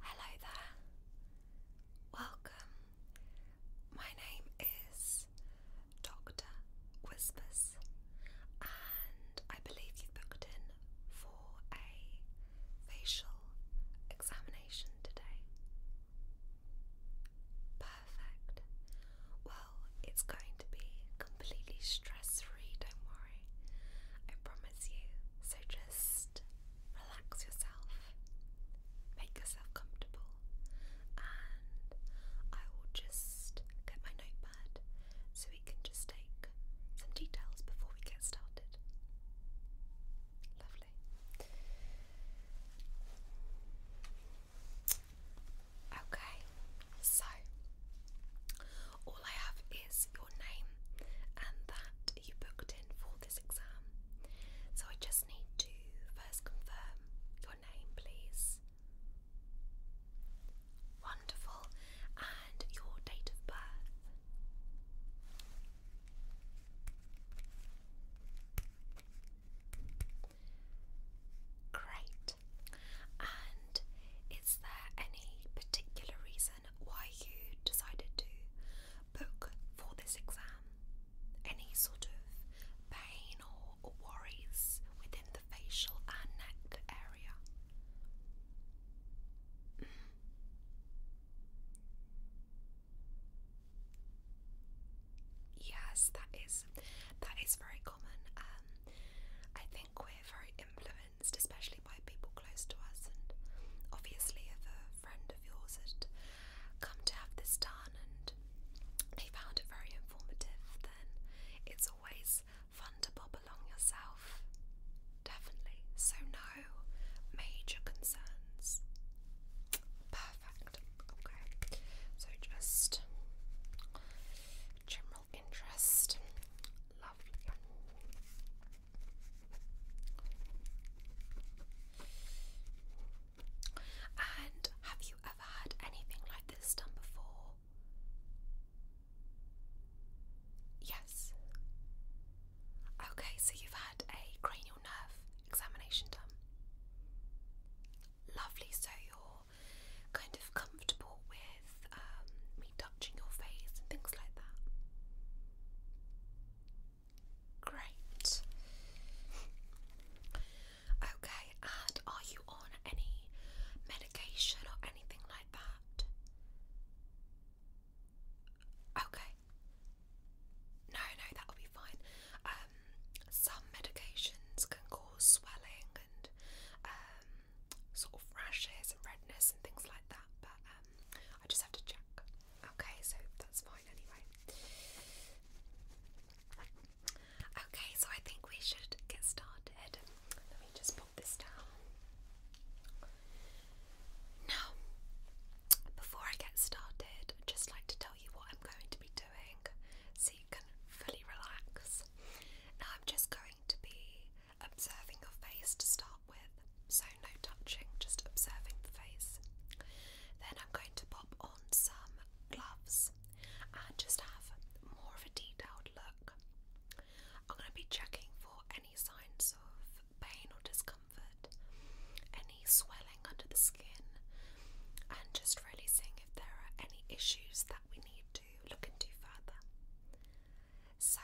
Hello there. Welcome. My name is Dr. Whispers, and I believe you've booked in for a facial examination today. Perfect. Well, it's going to be completely stress free, don't worry. I promise you. So just just relax yourself, make yourself comfortable, and I will just get my notepad so we can just take some details before we get started. Lovely. Okay, so all I have is your name and that you booked in for this exam. So I just need to first confirm your name, please. Wonderful. And your date of birth. Great. And is there any particular reason why you decided to book for this exam. Any sort of pain or, worries within the facial and neck area? Yes, that is that is very common. Um, I think we're very influenced especially by people close to us. And obviously, if a friend of yours had come to have this done and they found it very informative, then it's always fun to bob along yourself. Definitely. So, no major concerns. Perfect. Okay. So, just general interest. Lovely. And have you ever had anything like this done before? Yes. Okay, so you've had a cranial nerve examination done. Lovely, so you're kind of come with um, me touching your face and things like that? Great. Okay, and are you on any medication or anything like that? Okay. No, no, that'll be fine. Um, some medications can cause swelling and um, sort of rashes and redness and things like that, but um, I just have to check. Okay, so that's fine anyway. Okay, so I think we should get started. Let me just pop this down. Now, before I get started, i just like to tell you what I'm going to be doing so you can fully relax. I'm just going to be observing your face to start with, so no touching, just observing the face. Then I'm going to pop on some gloves and just have more of a detailed look. I'm going to be checking for any signs of pain or discomfort, any swelling under the skin, and just really seeing if there are any issues that we need to look into further. So,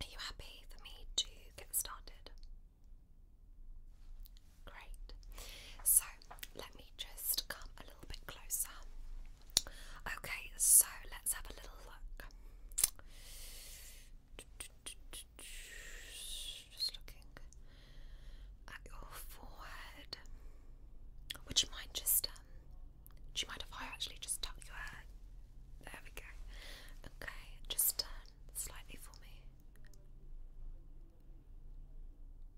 are you happy for me to get started? Great. So, let me just come a little bit closer. Okay, so let's have a little look. Just looking at your forehead. Would you mind just um, do you mind if I actually just tuck your hair? There we go. Okay, just turn slightly for me.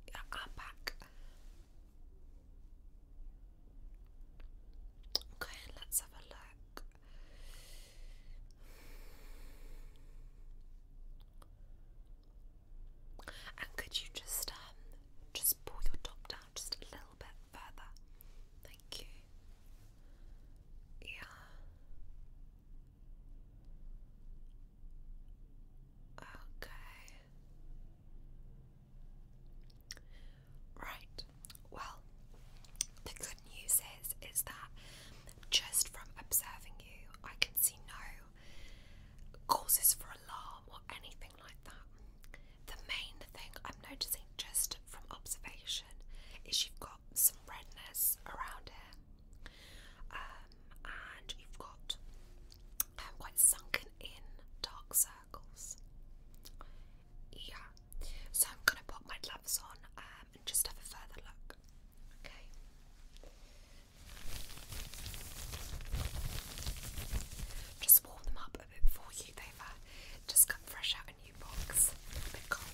Yeah, I'm back. Okay, let's have a look. And could you just um, just pull your top down just a little further. Thank you. Yeah. Okay. Right. Well, the good news is is that just from observing you, I can see no causes for alarm or anything the main thing I'm noticing just from observation is you've got some redness around here, um, and you've got um, quite sunken in dark circles. Yeah, so I'm gonna put my gloves on um, and just have a further look. Okay. Just warm them up just come fresh out a new box. A bit cold.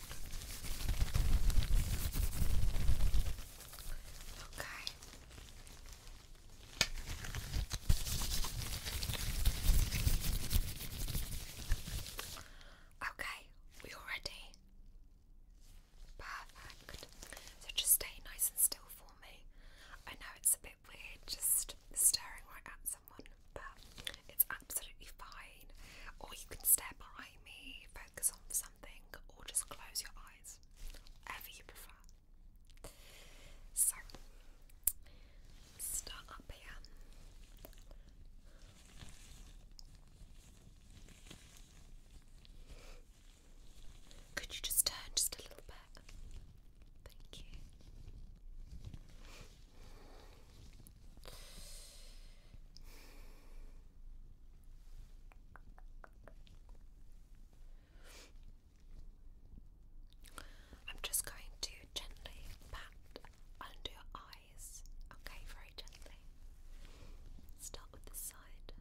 Okay. Okay, we all ready? Perfect. So just stay nice and still for me. I know it's a bit bit weird just staring right at someone, but it's absolutely fine. Or you can stare by me, focus on something, or just close your eyes, whatever you prefer. So, start up here. Could you just turn just a little bit? Thank you. I'm just going to gently pat under your eyes, okay? Very gently. Start with this side.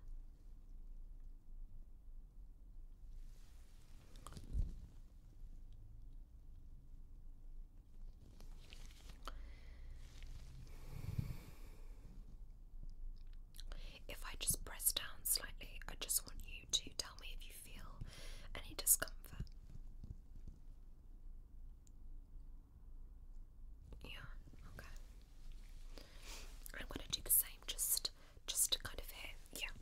If I just press down slightly, I just want you to tell me if you feel any discomfort. Yeah, okay. I'm going to do the same, just just kind of here. Yeah.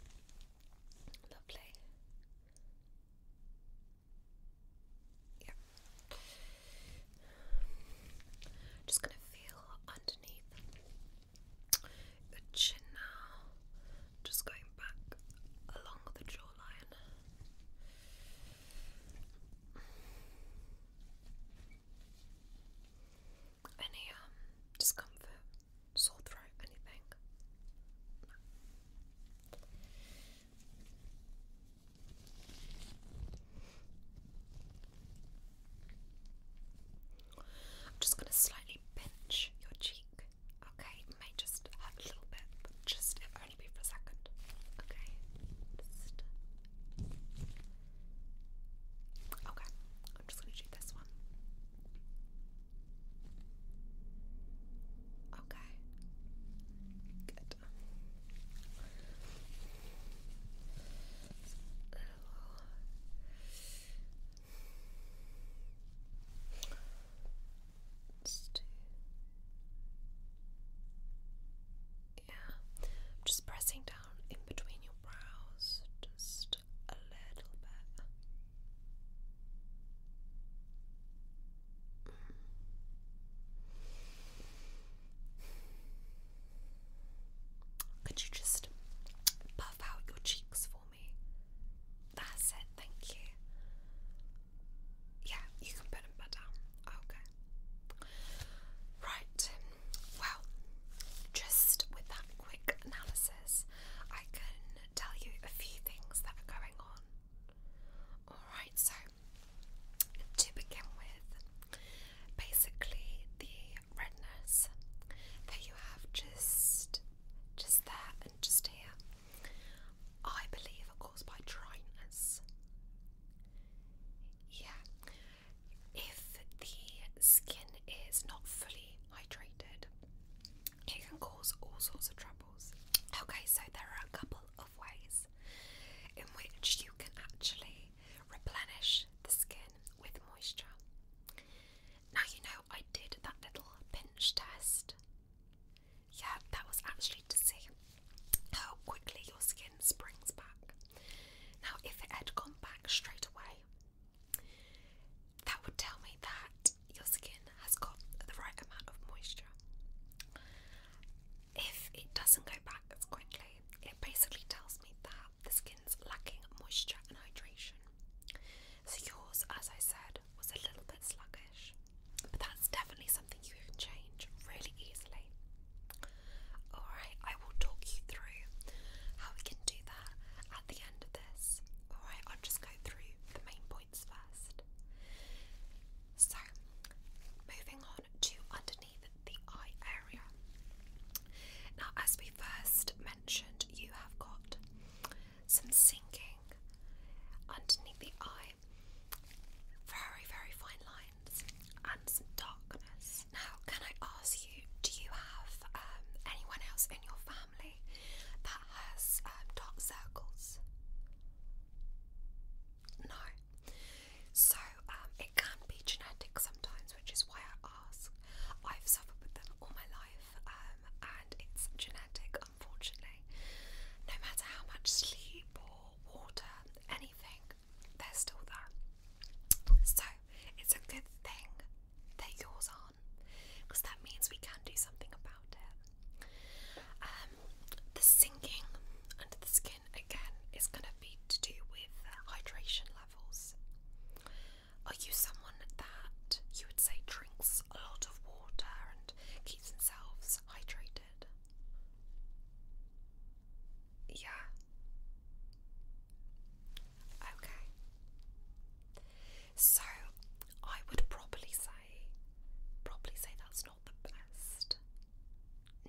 Lovely. Yeah. Just gonna feel underneath your chin now. Just going back along the jawline. Any um, discomfort, sore throat, anything? I'm just going to slightly pinch your cheek. Okay, may just hurt a little bit, just it only be for a second. Okay. Okay. I'm just going to do this one. Okay. Good. Let's Yeah. I'm just pressing down in between your brows just a little bit. Could you just puff out your cheeks for me? That's it, thank you. Yeah, you can put them back down. Okay. Right, well, just with that quick analysis, I can tell you a few things that are going on. Alright, so to begin with, basically the redness that you have just just there and just here, I believe are caused by dryness. Yeah, if the skin is not fully hydrated, it can cause all sorts of troubles. Okay, so there are a couple of ways in which you can actually replenish the skin with moisture. Now, you know, I did that little pinch test. Yeah, that was actually to see how quickly your skin springs back. Now, if it had gone back straight away, that would tell me that your skin has got the right amount of moisture. If it doesn't go back as quickly, it basically tells me that the skin's lacking moisture and hydration. So yours, as I said, was a little bit sluggish, but that's definitely something you can change really easily. Alright, I will talk you through how we can do that at the end of this. Alright, I'll just go through the main points first. So, moving on to underneath the eye area. Now, as we first mentioned, you have got some sinking underneath the eye, very, very fine lines, and some darkness. Now, can I ask you, do you have um, anyone else in your family that has um, circles? No. So, um, it can be genetic sometimes, which is why I ask. I've suffered with them all my life, um, and it's genetic, unfortunately. No matter how much sleep or water, anything, they're still there. So it's a good thing that yours aren't, because that means we can do something about it. Um, the sinking under the skin again is going to be to do with hydration levels. Are you someone that you would say drinks a lot of water and keeps themselves hydrated? Yeah, Okay. So I would probably say, probably say that's not the best.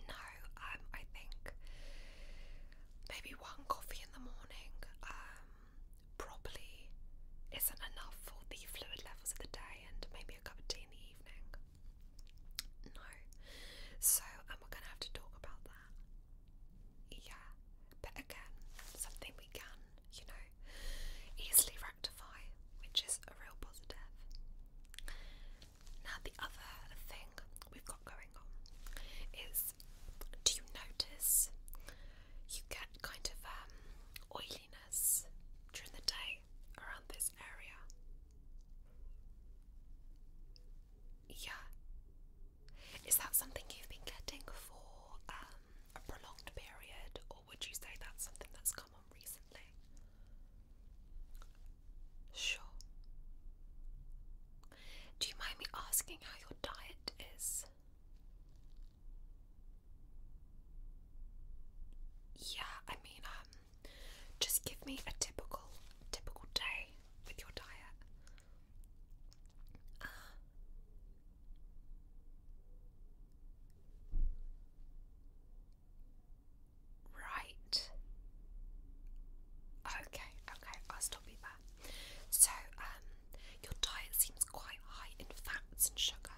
No, um, I think maybe one coffee in the morning um, probably isn't enough for the fluid levels of the day, and maybe a cup of tea in the evening. No, so we're gonna have to talk about that. Yeah, but again, something we can, you know, easily rectify, which is a real positive. Now, the other thing we've got going on is do you notice you get kind of um, oiliness during the day around this area? Yeah. Is that something you've been getting for um, a prolonged period, or would you say that's something that's come on recently? Sure. Do you mind me asking how your diet is? Yeah, I mean, um, just give me a typical, typical day with your diet. Uh, right. Okay, okay, I'll stop you there. So, um, your diet seems quite high in fats and sugar.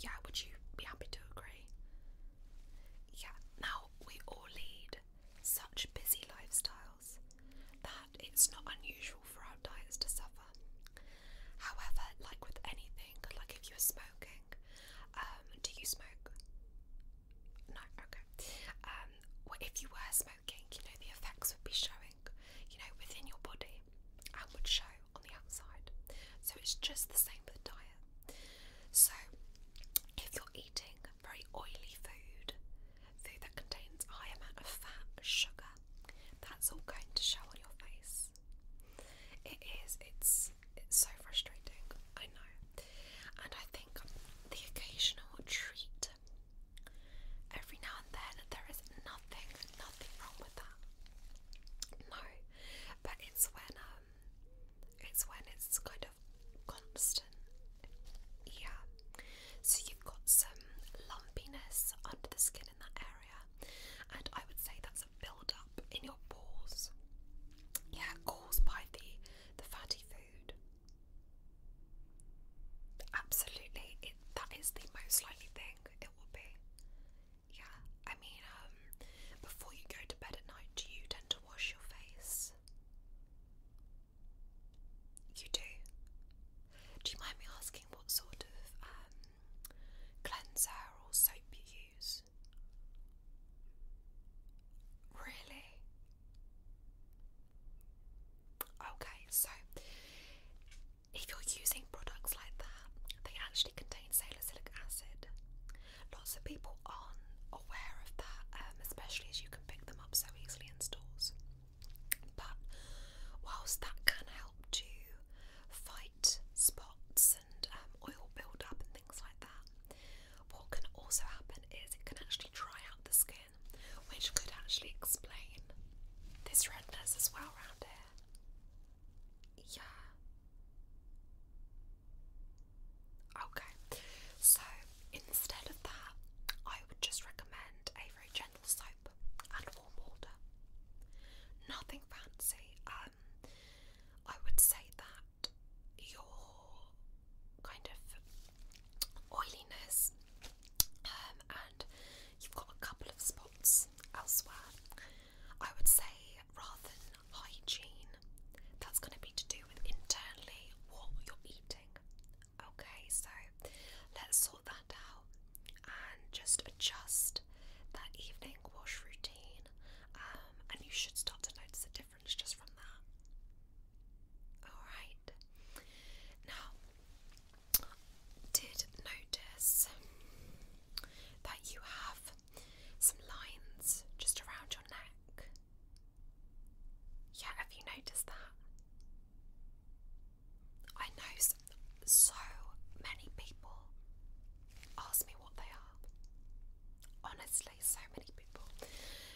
Yeah, would you be happy to agree? Yeah, now we all lead such busy lifestyles that it's not unusual for our diets to suffer. However, like with anything, like if you were smoking, um, do you smoke? No, okay. Um, if you were smoking, you know, the effects would be showing, you know, within your body and would show on the outside. So it's just the same with diet. So, if you're eating very oily food, food that contains high amount of fat, sugar, that's all going to show on your face. It is, it's, it's so frustrating, I know. And I think the occasional treat, every now and then, there is nothing, nothing wrong with that. No, but it's when um, it's when it's kind of constant. Yeah. So you've got some lumpiness under the skin in that area, and I would say that's a build-up in your pores. Yeah, caused by the the fatty food. Absolutely, that is the most likely thing it will be. Yeah, I mean, um, before you go to bed at night, do you tend to wash your face? You do? Do you mind me asking what sort of um, cleanser or soap you use? Really? Okay, so if you're using products like that, they actually contain salicylic acid. Lots of people aren't aware of that, um, especially as you can pick them up so easily in stores. But whilst that can help to fight spots and um, oil buildup and things like that, what can also happen is it can actually dry out the skin, which could actually explain this redness as well around here. Yeah, Okay, so instead of that, I would just recommend a very gentle soap and warm water. Nothing fancy. Um, I would say that your kind of oiliness, um, and you've got a couple of spots elsewhere. I would say rather than hygiene. That's going to be to do with internally what you're eating. Okay, so let's sort that out and just adjust that evening wash routine. Um, and you should start to notice a difference just from that. Alright. Now, did notice that you have some lines just around your neck. Yeah, have you noticed that? I know so, many people ask me what they are. Honestly, so many people.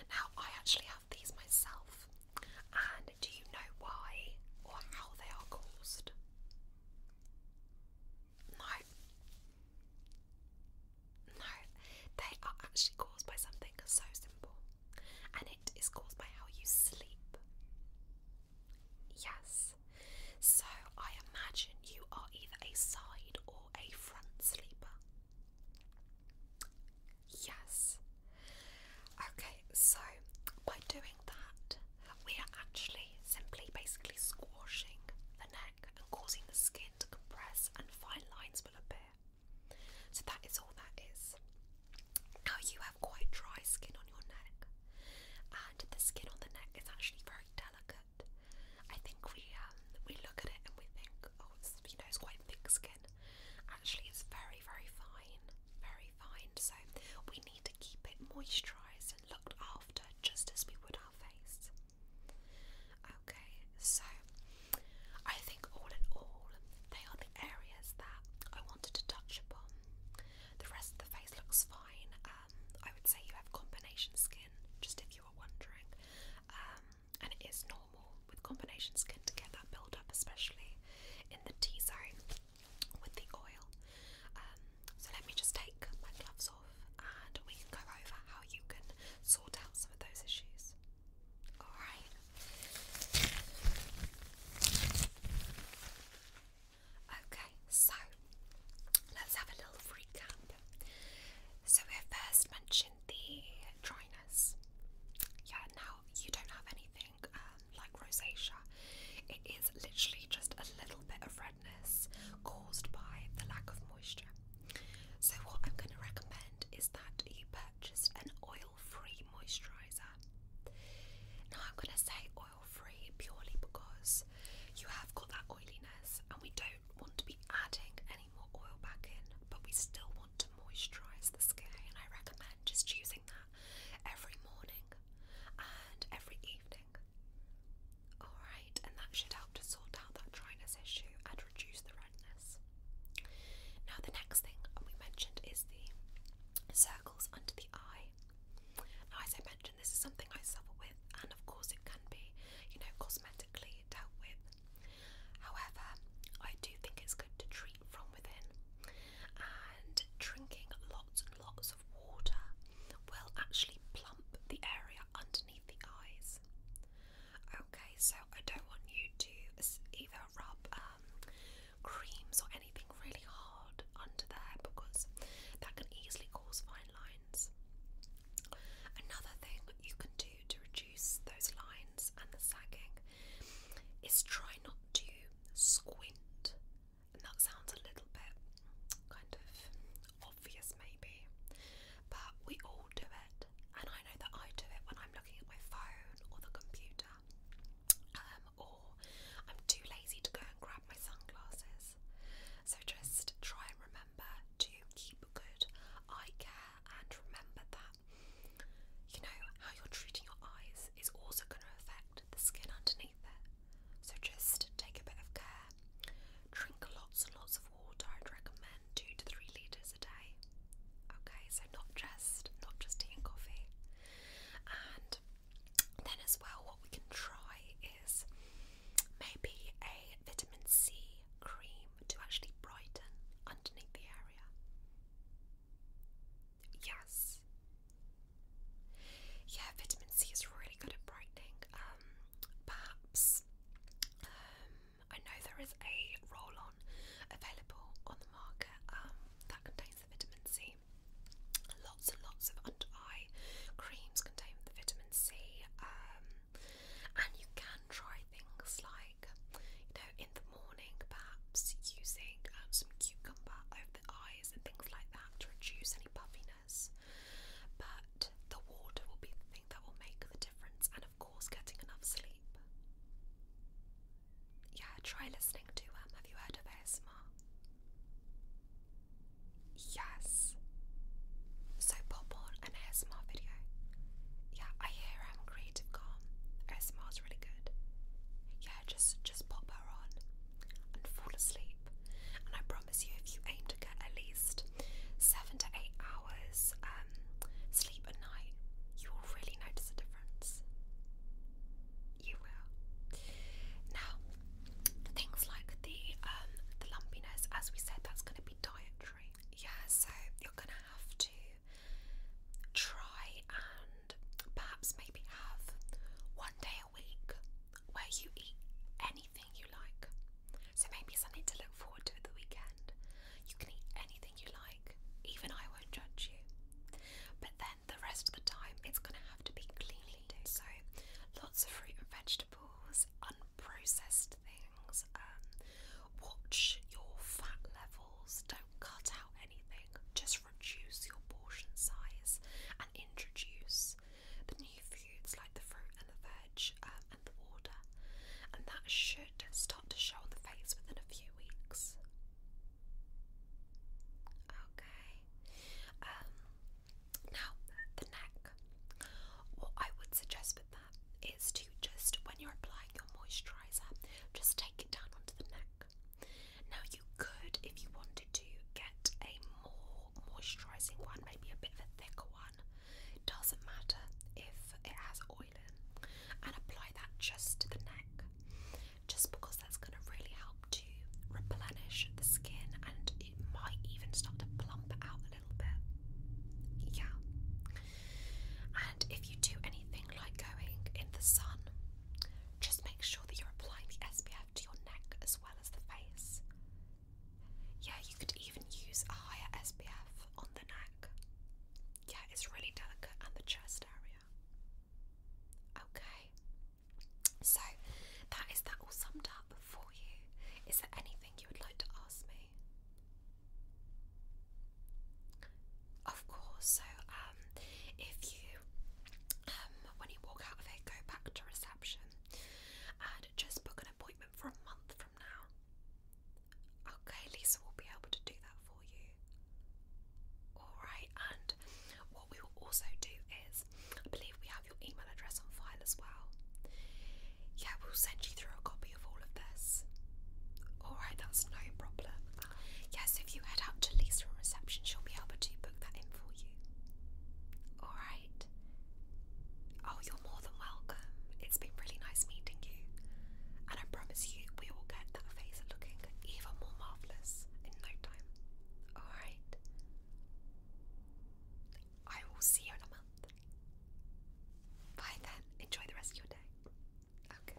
Now, I actually have these myself, and do you know why or how they are caused? No, no, they are actually caused by something so simple, and it is caused by how you sleep. Yes, so I imagine you are either a side or a front sleeper. Yes. Okay, so by doing that, we are actually simply basically squashing the neck and causing the skin to compress and fine lines will appear. So that is all that is. Now you have quite dry skin on your neck, and the skin on the neck is actually very delicate. I think we um, we look at it and we think, oh, it's, you know, it's quite thick skin. Actually, it's very, very fine, very fine. So we need to keep it moisturised and looked after, just as we would our face. Okay, so I think all in all, they are the areas that I wanted to touch upon. The rest of the face looks fine. Um, I would say you have combination skin, just if you were wondering. Um, and it is normal with combination skin to get that build up, especially in the T zone with the oil. Um, so let me just take my gloves off bits and we can go over how you can sort out some of those issues. Alright? Okay, so let's have a little recap. So we first mentioned the dryness. Yeah, now you don't have anything um, like rosacea. It is literally just a little bit of red caused by the lack of moisture. So, what I'm going to recommend is that you purchase an oil free moisturiser. Now, I'm going to say oil free purely because you have got that oiliness and we don't want to be adding any more oil back in, but we still want to moisturise the skin. And I recommend just using that every morning and every evening. Alright, and that should help to sort out that dryness issue and reduce the redness. Now, the next thing we mentioned is the circles under the eye. Now, as I mentioned, this is something I suffer with, and of course, it can be, you know, cosmetically dealt with. However, I do think it's good to treat from within, and drinking lots and lots of water will actually plump the area underneath the eyes. Okay, so I don't want you to either rub um, creams or anything really hard under there because that can easily cause fine lines. Another thing that you can do to reduce those lines and the sagging is try not to squint, and that sounds a little bit kind of obvious maybe, but we all do it, and I know that I do it when I'm looking at my phone or the computer, um, or I'm too lazy to go and grab my sunglasses. So just try and remember to keep good eye care and remember that you know how you're treating your eyes is also going to affect the skin underneath it. So just take a bit of care. Drink lots and lots of water. I'd recommend two to three litres a day. Okay, so not just not just tea and coffee. And then as well what we can try is maybe a vitamin C cream to actually brighten underneath the area. Yes. Yeah, vitamin C is really good at brightening. Um, perhaps um, I know there is a roll-on available on the market um, that contains the vitamin C. Lots and lots of under eye creams contain the vitamin C, um, and you can try things like you know in the morning perhaps using um, some cucumber over the eyes and things like that to reduce any puffiness happiness. But the water will be the thing that will make the difference, and of course, getting enough sleep. Yeah, try listening to um. Have you heard of ASMR? Yes. So pop on an ASMR video. Yeah, I hear um Creative Calm. ASMR's really good. Yeah, just just pop her on and fall asleep. And I promise you, if you aim to get at least seven to eight hours um, sleep at night, you will really notice a difference. You will. Now, things like the um, the lumpiness, as we said, that's going to be dietary. Yeah, so you're going to have to try and perhaps maybe have one day a week where you eat any anything you like. So maybe something to look forward to at the weekend. You can eat anything you like, even I won't judge you. But then the rest of the time, it's going to have to be cleanly. So lots of fruit and vegetables, unprocessed things. Um, watch your fat levels. Don't cut out anything. Just reduce your portion size and introduce the new foods like the fruit and the veg um, and the water, and that should start to show on the face within a few weeks. Okay. Um, now the neck. What I would suggest with that is to just when you're applying your moisturizer, just take it down onto the neck. Now you could, if you wanted to, get a more moisturising one, maybe a bit of a thicker one. It Doesn't matter if it has oil in, and apply that just to the neck, just because that's going to really help to replenish the skin, and it might even start to plump it out a little bit. Yeah. And if you do anything like going in the sun, just make sure that you're applying the SPF to your neck as well as the face. Yeah, you could even use a higher SPF on the neck. Yeah, it's really delicate and the chest area. Okay. So, that is that all summed up for you. Is there anything you would like to ask me? Of course. So, um, if you, um, when you walk out of here, go back to reception and just book an appointment for a month from now. Okay, Lisa will be able to do that for you. Alright, and what we will also do is, I believe we have your email address on file as well. Yeah, we'll send you through a copy of all of this. Alright, that's no problem. Yes, if you head out to Lisa in reception, she'll be able to book that in for you. Alright. Oh, you're more than welcome. It's been really nice meeting you. And I promise you, we will get that face looking even more marvellous in no time. Alright. I will see you in a month. Bye then. Enjoy the rest of your day. Okay.